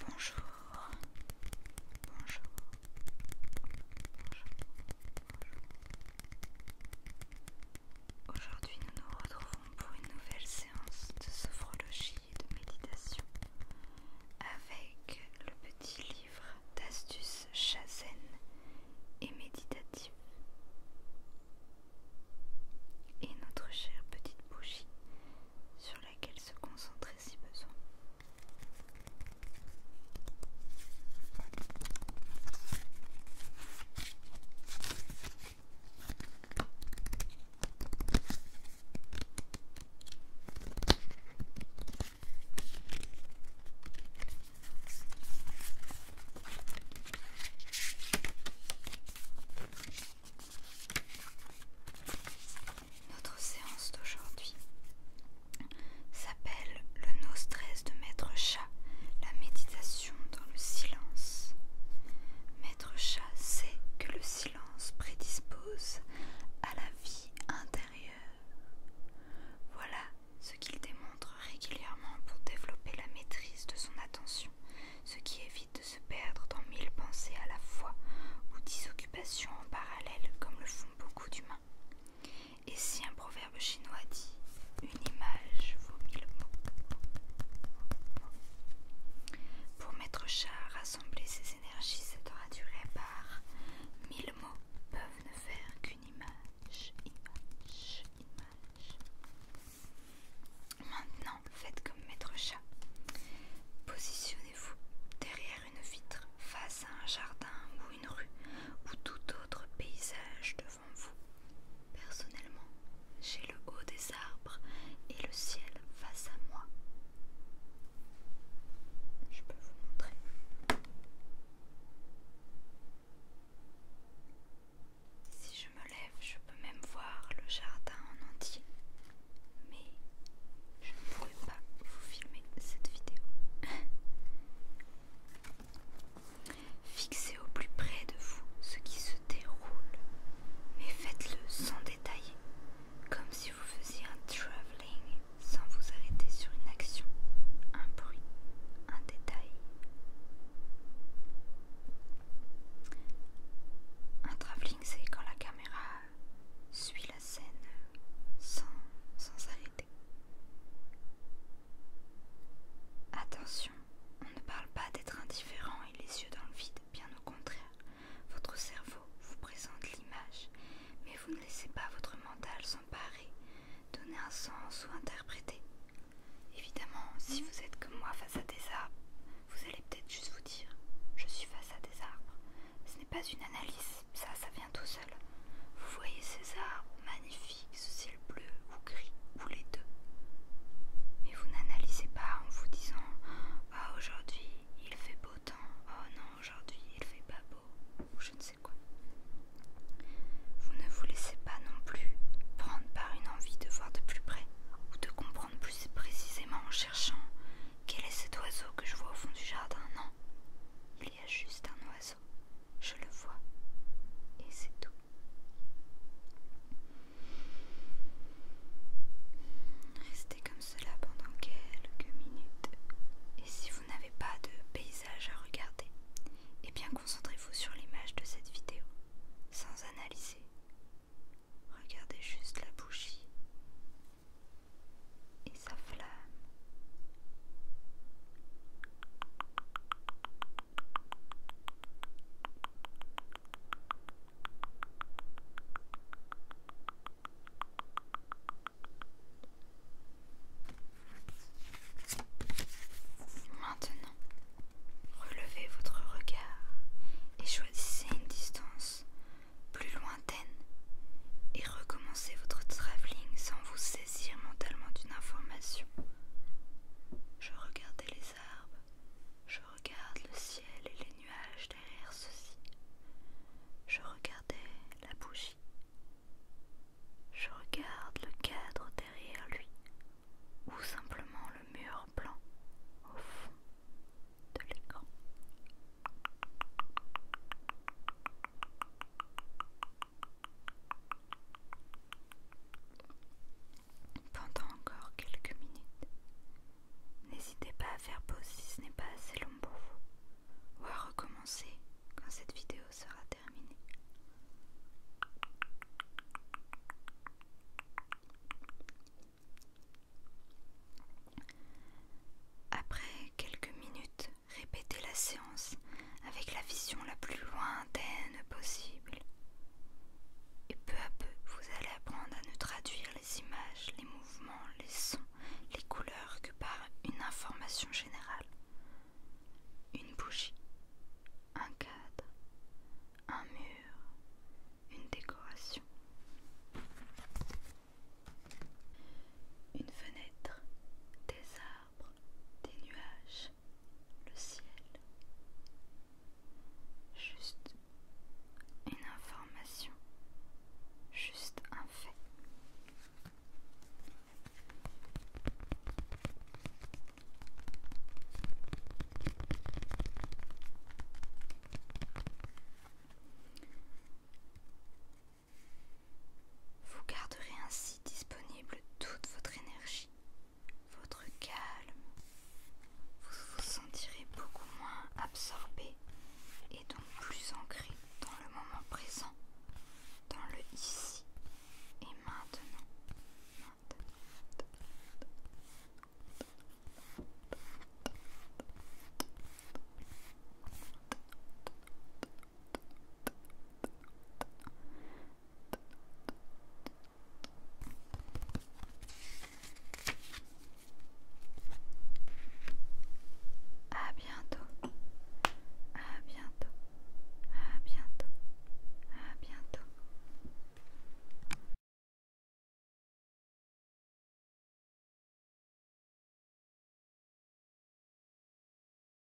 Bonjour. Bonjour. Bonjour. Aujourd'hui, nous nous retrouvons pour une nouvelle séance de sophrologie et de méditation avec le petit livre d'astuces chazen et méditatif et notre chère petite bougie sur laquelle se concentrer si besoin. Notre séance d'aujourd'hui s'appelle le no stress de Maître Chat, la méditation dans le silence. Maître Chat sait que le silence prédispose à la vie intérieure. Voilà ce qu'il démontre régulièrement pour développer la maîtrise de son attention, ce qui évite de se perdre dans mille pensées à la fois ou dix occupations en parallèle comme le font beaucoup d'humains. Et si un proverbe chinois dit une image vaut mille mots. Pour Maître Chat rassembler ses énergies, ça devra durer par mille mots peuvent ne faire qu'une image, image. Maintenant, faites comme Maître Chat. Positionnez-vous derrière une vitre, face à un jardin ou une rue, ou tout autre paysage devant vous. Personnellement, j'ai le haut des arbres et le ciel face à moi. Je peux vous montrer. Si je me lève, je peux même voir le jardin en entier. Mais je ne pourrais pas vous filmer cette vidéo. Fixez au plus près de vous ce qui se déroule, mais faites-le sans détailler, comme si vous faisiez un travelling sans vous arrêter sur une action, un bruit, un détail. Un travelling, c'est quand la caméra suit la scène sans s'arrêter. Attention, on ne parle pas d'être indifférent et les yeux dans le vide, bien au contraire. Votre cerveau vous présente l'image, mais vous ne laissez pas votre mental s'emparer donner un sens ou interpréter. Évidemment, si vous êtes comme moi face à des arbres, vous allez peut-être juste vous dire Je suis face à des arbres. Ce n'est pas une analyse, ça, ça vient tout seul. Vous voyez ces arbres magnifiques, ce ciel bleu ou gris, ou les deux. Mais vous n'analysez pas en vous disant Ah, aujourd'hui il fait beau temps, oh non, aujourd'hui il fait pas beau, je vous ne vous laissez pas non plus prendre par une envie de voir de plus près ou de comprendre plus précisément en cherchant quel est cet oiseau que je vois au fond du jardin. Non, il y a juste un oiseau. Je le vois et c'est tout. Restez comme cela pendant quelques minutes. Et si vous n'avez pas de paysage à regarder, et eh bien concentrez-vous sur l'image de cette vidéo, sans analyser. Regardez juste la bougie et sa flamme. Maintenant, relevez votre regard et choisissez une distance plus lointaine et recommencez votre travelling sans vous saisir mentalement d'une information. Je regardais les arbres je regarde le ciel et les nuages derrière ceci. Je regardais la bougie. Je regarde le cadre derrière lui, ou simplement le mur blanc au fond de l'écran. Pendant encore quelques minutes, N'hésitez pas à faire pause si ce n'est pas assez long pour vous, ou à recommencer quand cette vidéo sera terminée. Après quelques minutes, répétez la séance avec la vision la plus lointaine possible. Et peu à peu, vous allez apprendre à ne traduire les images, les mouvements, les sons, les couleurs que par une information générale. Une bougie, un cadre, un mur, une décoration, une fenêtre, des arbres, des nuages, le ciel. Juste une information, juste un fait. Vous garderez ainsi disponible toute votre énergie votre calme. Vous vous sentirez beaucoup moins absorbé et donc plus ancré dans le moment présent, dans le ici et maintenant. À bientôt. À bientôt. À bientôt. À bientôt.